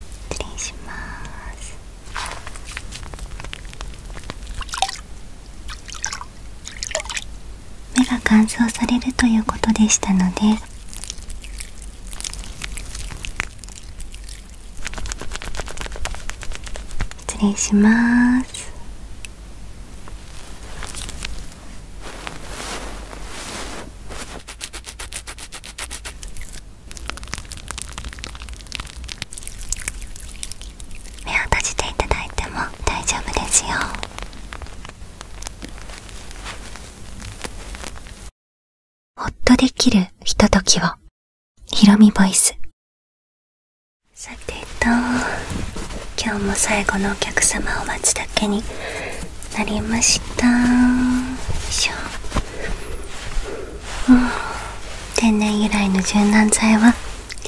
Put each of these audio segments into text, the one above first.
失礼します目が乾燥されるということでしたので失礼します目を閉じていただいても大丈夫ですよほっとできるひとときをひろみボイスさてと今日も最後のお客様を待つだけになりましたよいしょ天然由来の柔軟剤は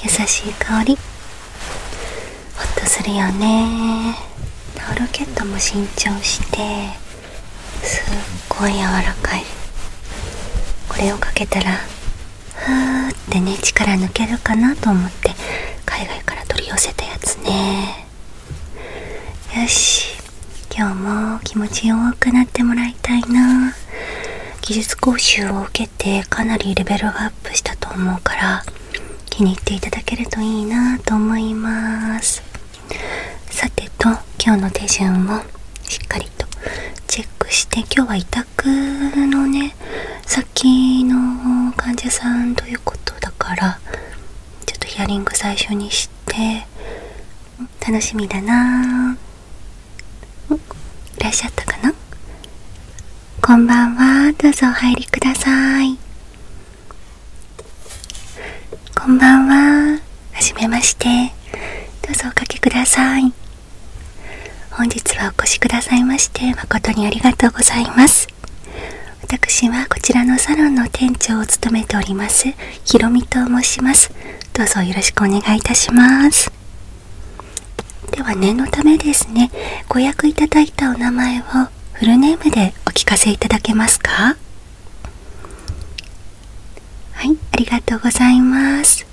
優しい香りホッとするよねタオルケットも新調してすっごい柔らかいこれをかけたらふーってね力抜けるかなと思って海外から取り寄せたやつねよし今日も気持ちよくなってもらいたいな技術講習を受けてかなりレベルがアップしたと思うから気に入っていただけるといいなと思いますさてと今日の手順をしっかりとチェックして今日は委託のね先の患者さんということだからちょっとヒアリング最初にして楽しみだなーいらっしゃったかなこんばんはどうぞお入りくださいこんばんははめましてどうぞおかけください本日はお越しくださいまして誠にありがとうございます私はこちらのサロンの店長を務めておりますひろみと申しますどうぞよろしくお願いいたしますでは念のためですねご予約いただいたお名前をフルネームでお聞かせいただけますかはいありがとうございます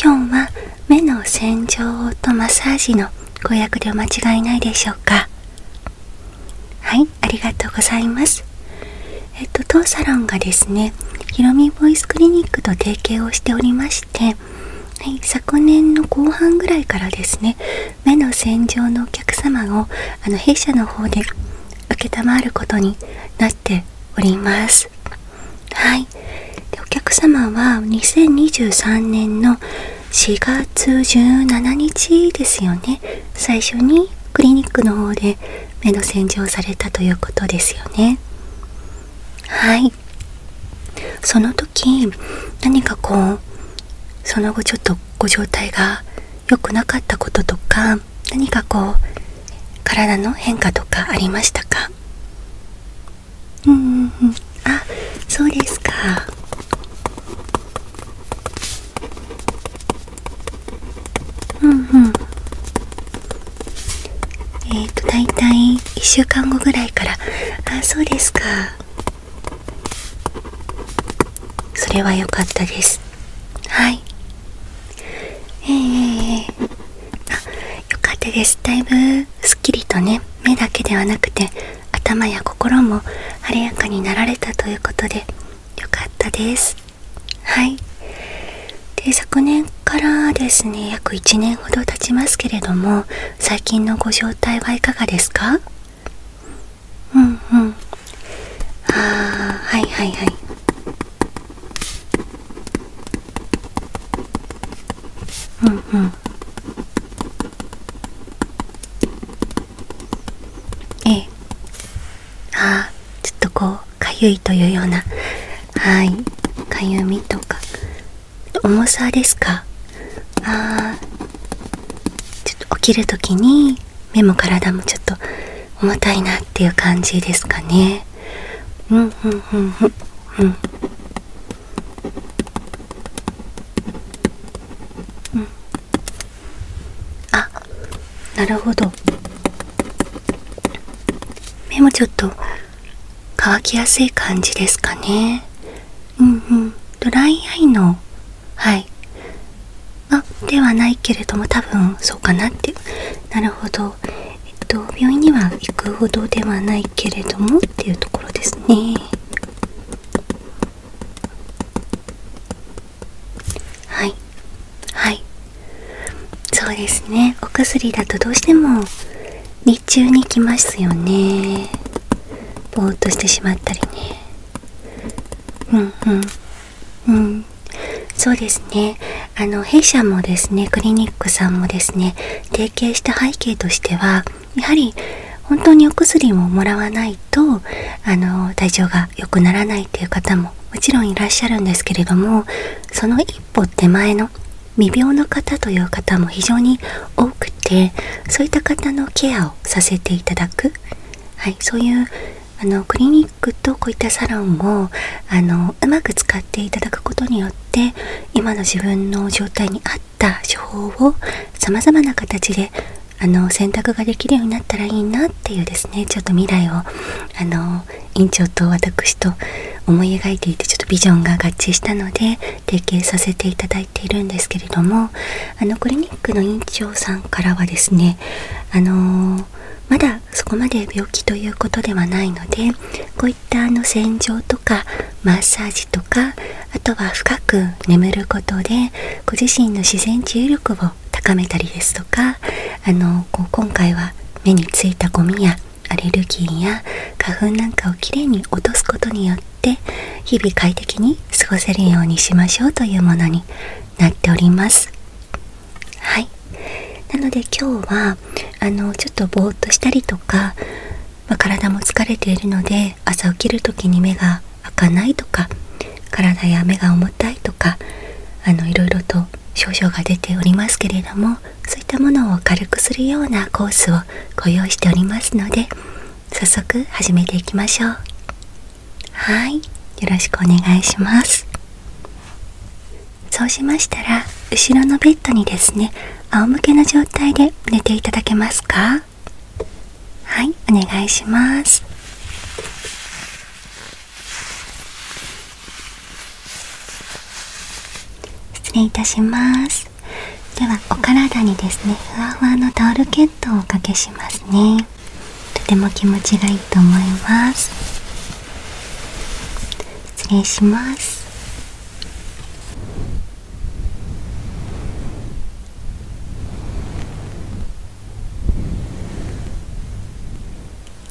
今日は目の洗浄とマッサージのご予約でお間違いないでしょうかはいありがとうございますえっと当サロンがですねひろみボイスクリニックと提携をしておりまして、はい、昨年の後半ぐらいからですね目の洗浄のお客様をあの弊社の方で承ることになっておりますはいでお客様は2023年の4月17日ですよね最初にクリニックの方で目の洗浄されたということですよねはいその時何かこうその後ちょっとご状態が良くなかったこととか何かこう体の変化とかありましたかうんうんあそうですかうんうんえっ、ー、と大体1週間後ぐらいからあそうですかそれはよかったですはいええー、あよかったですだいぶすっきりとね目だけではなくて頭や心も晴れやかになられたということでよかったですはいで昨年からですね約1年ほど経ちますけれども最近のご状態はいかがですかうんうんああはいはいはいうんうんえああちょっとこうかゆいというようなはいかゆみとか重さですかあちょっと起きるときに目も体もちょっと重たいなっていう感じですかねうんうんうんうんうんうんあなるほど目もちょっと乾きやすい感じですかねうんうんドライアイのはいあではないけれども多分そうかなってなるほどえっと病院には行くほどではないけれどもっていうところですねはいはいそうですねお薬だとどうしても日中に来ますよねぼーっとしてしまったりねうんうんうんそうですねあの弊社もですねクリニックさんもですね提携した背景としてはやはり本当にお薬をもらわないとあの体調が悪くな良くならないという方ももちろんいらっしゃるんですけれどもその一歩手前の未病の方という方も非常に多くてそういった方のケアをさせていただく、はい、そういうあのクリニックとこういったサロンをあのうまく使っていただくことによって今の自分の状態に合った手法をさまざまな形であの選択ができるようになったらいいなっていうですねちょっと未来をあの院長と私と思い描いていてちょっとビジョンが合致したので提携させていただいているんですけれどもあのクリニックの院長さんからはですねあのまだそこまで病気ということではないのでこういったあの洗浄とかマッサージとかあとは深く眠ることでご自身の自然治癒力を高めたりですとかあのこう今回は目についたゴミやアレルギーや花粉なんかをきれいに落とすことによって日々快適に過ごせるようにしましょうというものになっております。はいなので今日はあのちょっとぼーっとしたりとか、ま体も疲れているので朝起きる時に目が儚いとか体や目が重たいとかあのいろと症状が出ておりますけれどもそういったものを軽くするようなコースをご用意しておりますので早速始めていきましょうはいよろしくお願いしますそうしましたら後ろのベッドにですね仰向けの状態で寝ていただけますかはいお願いします失礼いたしますではお体にですねふわふわのタオルケットをおかけしますねとても気持ちがいいと思います失礼します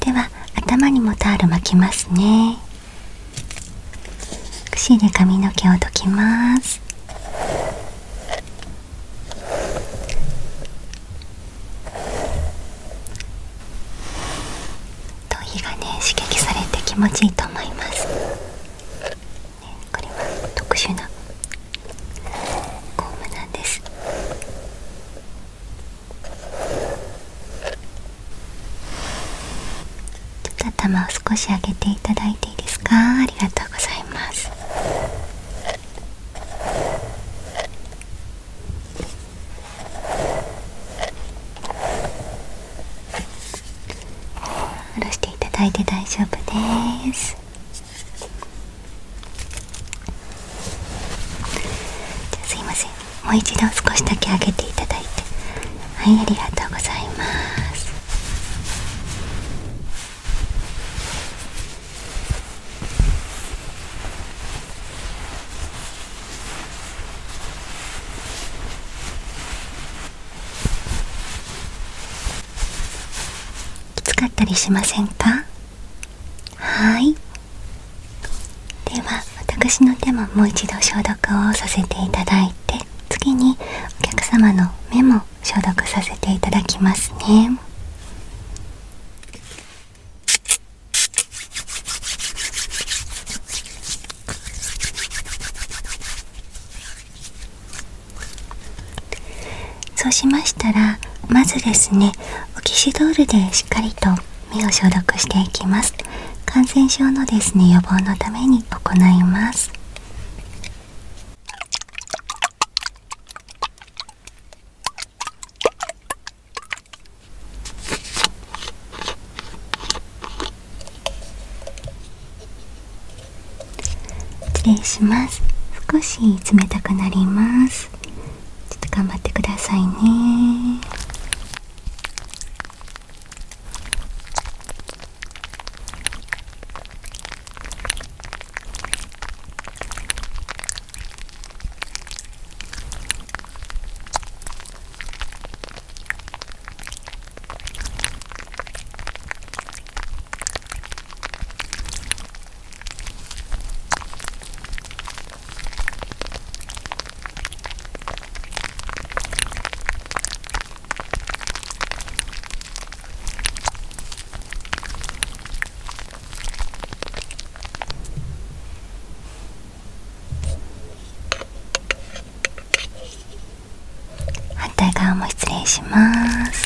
では頭にもタオル巻きますねくで髪の毛をどきます頭皮がね刺激されて気持ちいいと思います、ね、これは特殊な頭を少し上げていただいていいですかありがとうございま下ろしていただいて大丈夫です。すいませんもう一度少しだけ上げていただいてはいありがとうございますきつかったりしませんかはいでは私の手ももう一度消毒をさせていただいて次にお客様の目も消毒させていただきますねそうしましたらまずですねオキシドールでしっかりと目を消毒していきます感染症のですね予防のために行います失礼します少し冷たくなりますちょっと頑張ってくださいね反対側も失礼します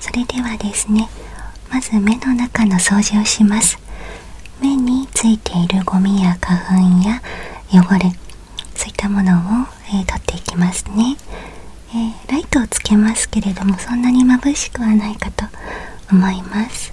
それではですねまず目の中の掃除をします目についているゴミや花粉や汚れそういったものを、えー、っていきますね、えライトをつけますけれどもそんなに眩しくはないかと思います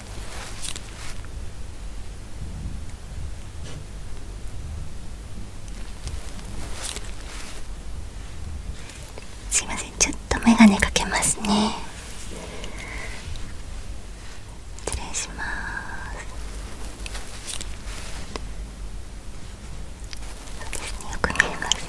すいませんちょっと眼鏡かけますね失礼しますよく見えます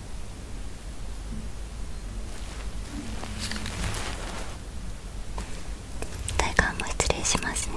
体感も失礼しますね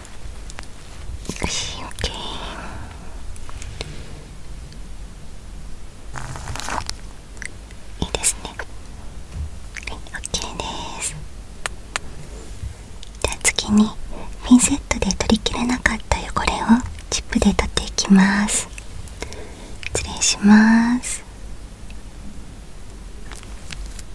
よし、神経いいですねはい OK ですじゃあ次にピンセットで取りきれなかった汚れをチップで取っていきます失礼します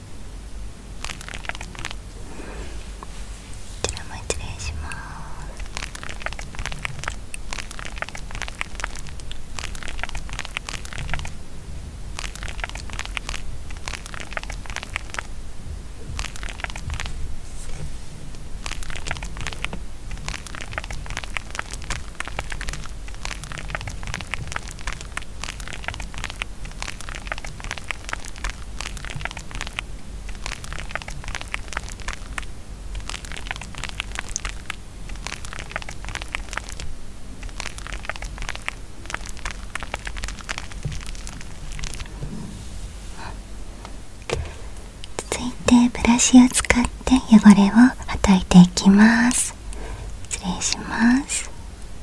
こちらも失礼します続いてブラシを使って汚れをはたていきます失礼します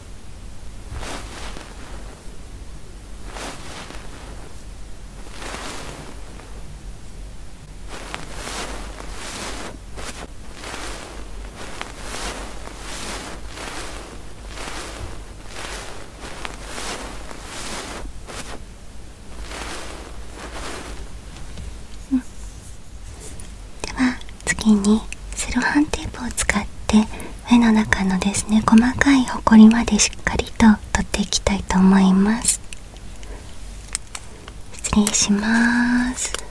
うん、では次にセロハンテープを使って目の中のですね細かいほこりまでしっかりと取っていきたいと思います失礼しますます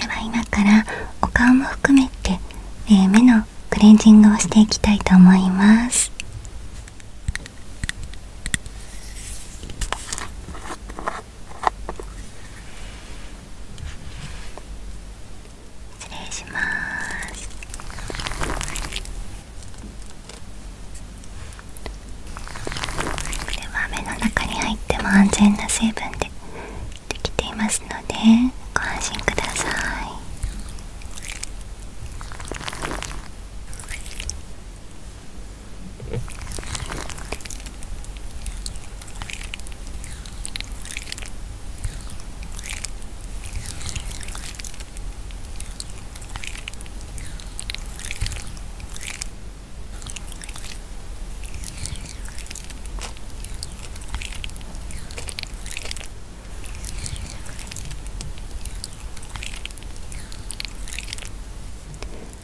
では今からお顔も含めて、え目のクレンジングをしていきたいと思います失礼しますこれは目の中に入っても安全な成分でできていますのでご安心ください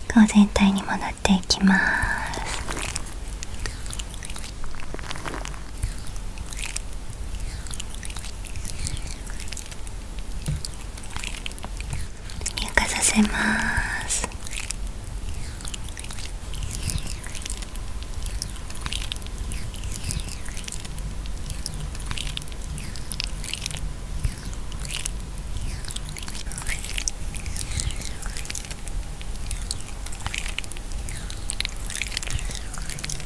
顔全体にも塗っていきます乳化させます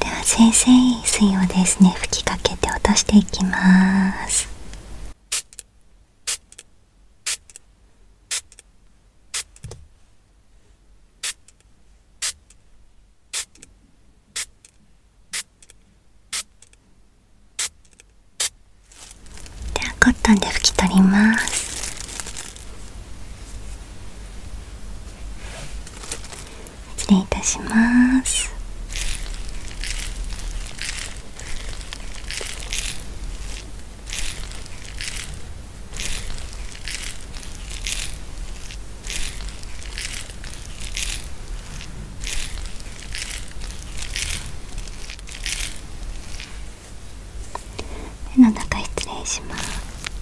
では先生水をですね吹きかけて落としていきますではコットンで拭き取ります失礼いたします目の中失礼します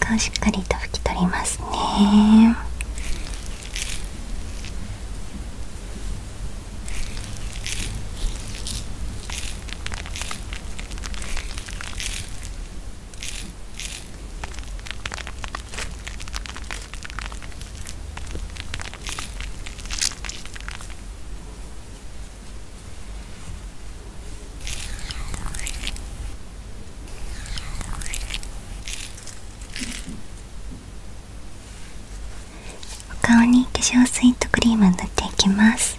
顔しっかりと拭き取りますねお顔に化粧スイートクリームを塗っていきます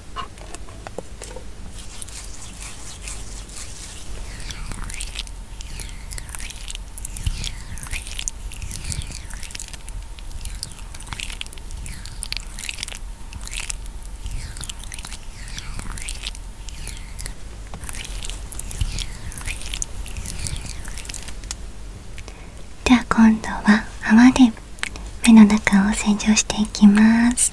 では今度は泡で目の中を洗浄していきます。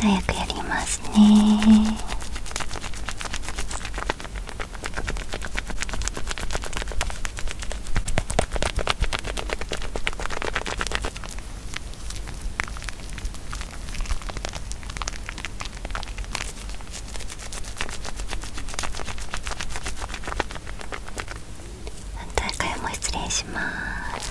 ちょっと早くやりますね反対側も失礼します。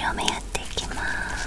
両面やっていきます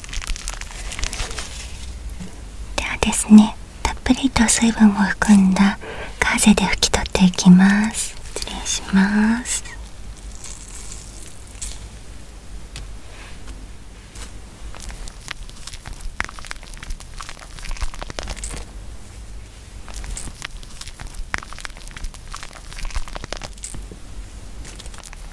ではですねたっぷりと水分を含んだガーゼで拭き取っていきます失礼します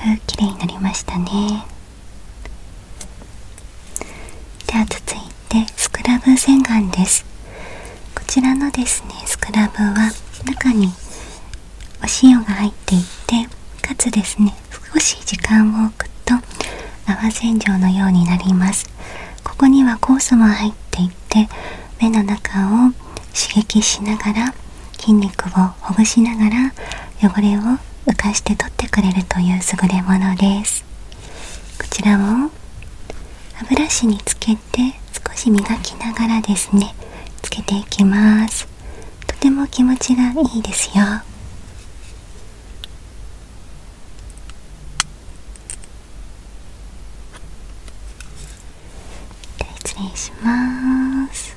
だいぶ綺麗になりましたねでは続いてスクラブ洗顔ですこちらのですねスクラブは中にお塩が入っていてかつですね少し時間を置くと泡洗浄のようになりますここには酵素も入っていて目の中を刺激しながら筋肉をほぐしながら汚れを浮かして取ってくれるという優れものですこちらを歯ブラシにつけて少し磨きながらですねつけていきますとても気持ちがいいですよでは失礼します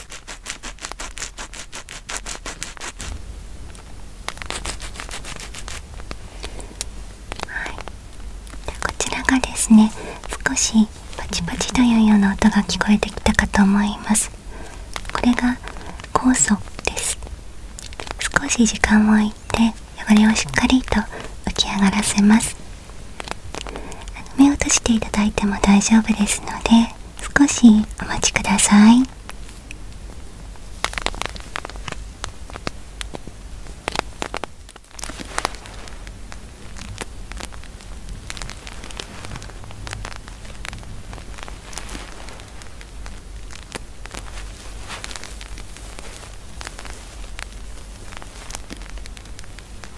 はい、こちらがですね少しパチパチというような音が聞こえてきたかと思いますこれが酵素です少し時間を置いて汚れをしっかりと浮き上がらせます目を閉じていただいても大丈夫ですので少しお待ちください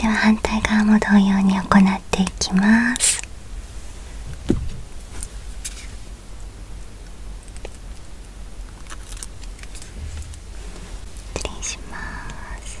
では反対側も同様に行っていきます失礼します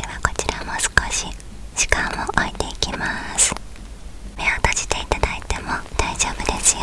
ではこちらも少し時間を置いていきます。目を閉じていただいても大丈夫ですよ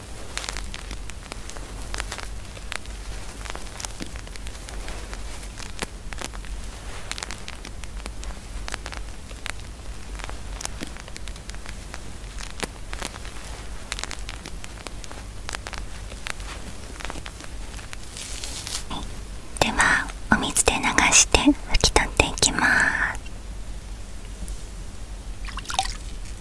ではお水で流して拭き取っていきます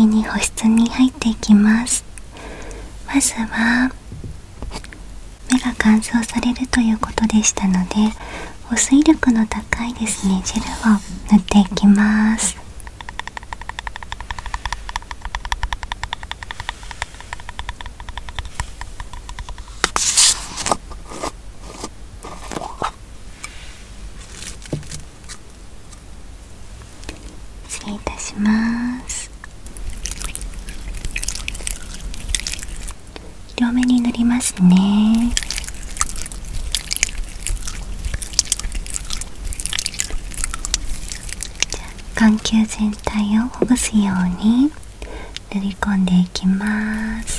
では次に保湿に入っていきますまずは目が乾燥されるということでしたので保水力の高いですねジェルを塗っていきます失礼いたします両目に塗りますね眼球全体をほぐすように塗り込んでいきます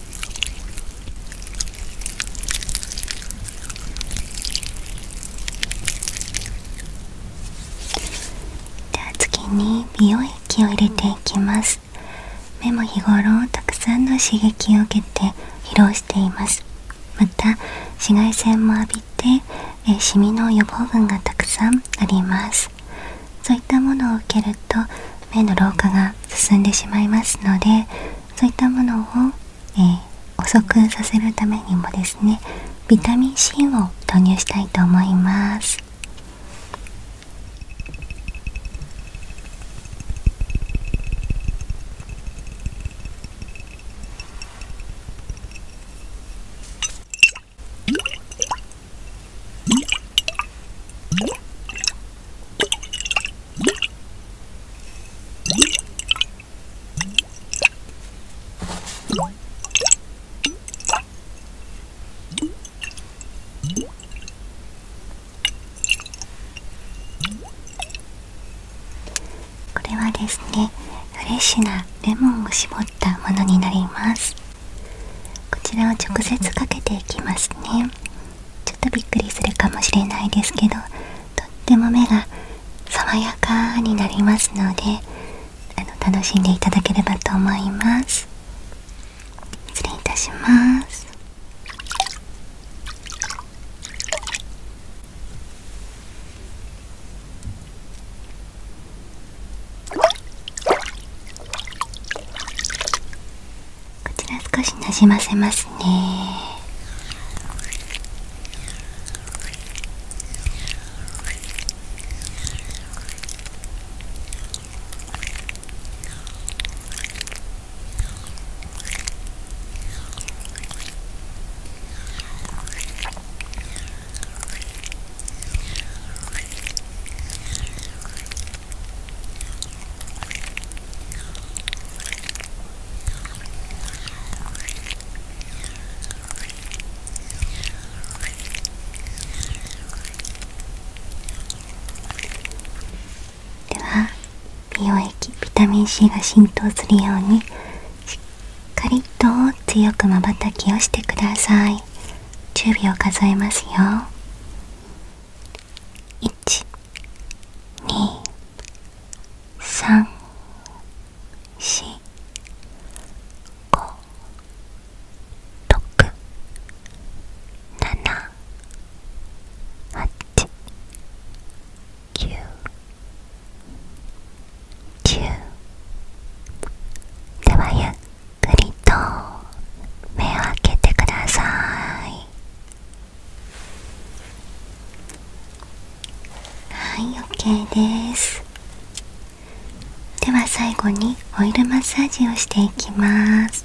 では次に美容液を入れていきます目も日頃たくさんの刺激を受けて疲労していますまた紫外線も浴びてえシミの予防群がたくさんありますそういったものを受けると目の老化が進んでしまいますのでそういったものを、え遅くさせるためにもですねビタミン C を投入したいと思いますこれはですねフレッシュなレモンを絞ったものになりますこちらを直接かけていきますねちょっとびっくりするかもしれないですけどとっても目が爽やかになりますのであの楽しんでいただければと思います失礼いたしますこちら少しなじませますねでは美容液ビタミン C が浸透するようにしっかりと強くまばたきをしてください10秒数えますよ1、2、3、4、5、6、7、8、9、ではゆっくりと目を開けてくださいはい OK ですでは最後にオイルマッサージをしていきます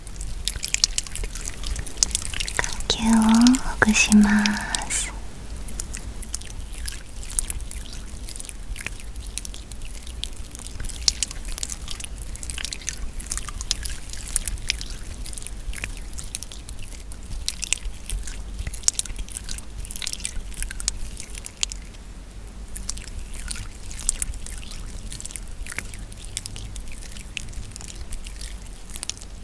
呼吸をほぐします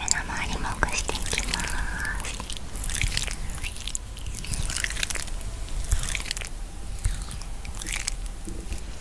周りもくしていきます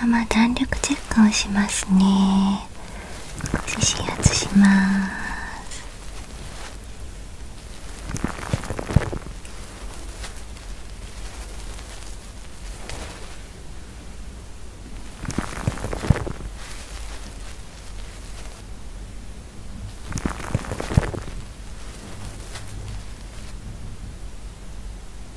のまま弾力チェックをしますね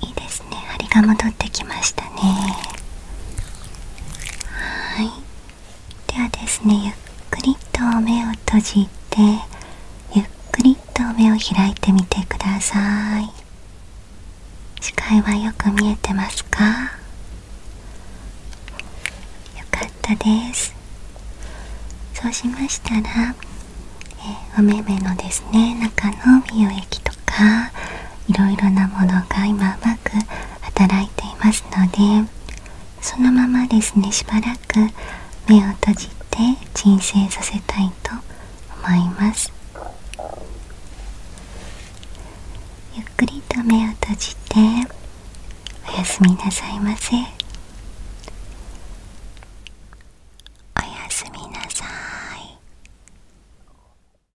いいですね針が戻ってきましたねはいではですねゆっくりと目を閉じてゆっくりと目を開いてみてください視界はよく見えてますかよかったですそうしましたら、えー、のですね中の美容液とかいろいろなものが今うまく働いていますのでそのままですねしばらく目を閉じて鎮静させたいと思いますゆっくりと目を閉じておやすみなさいませおやすみなさい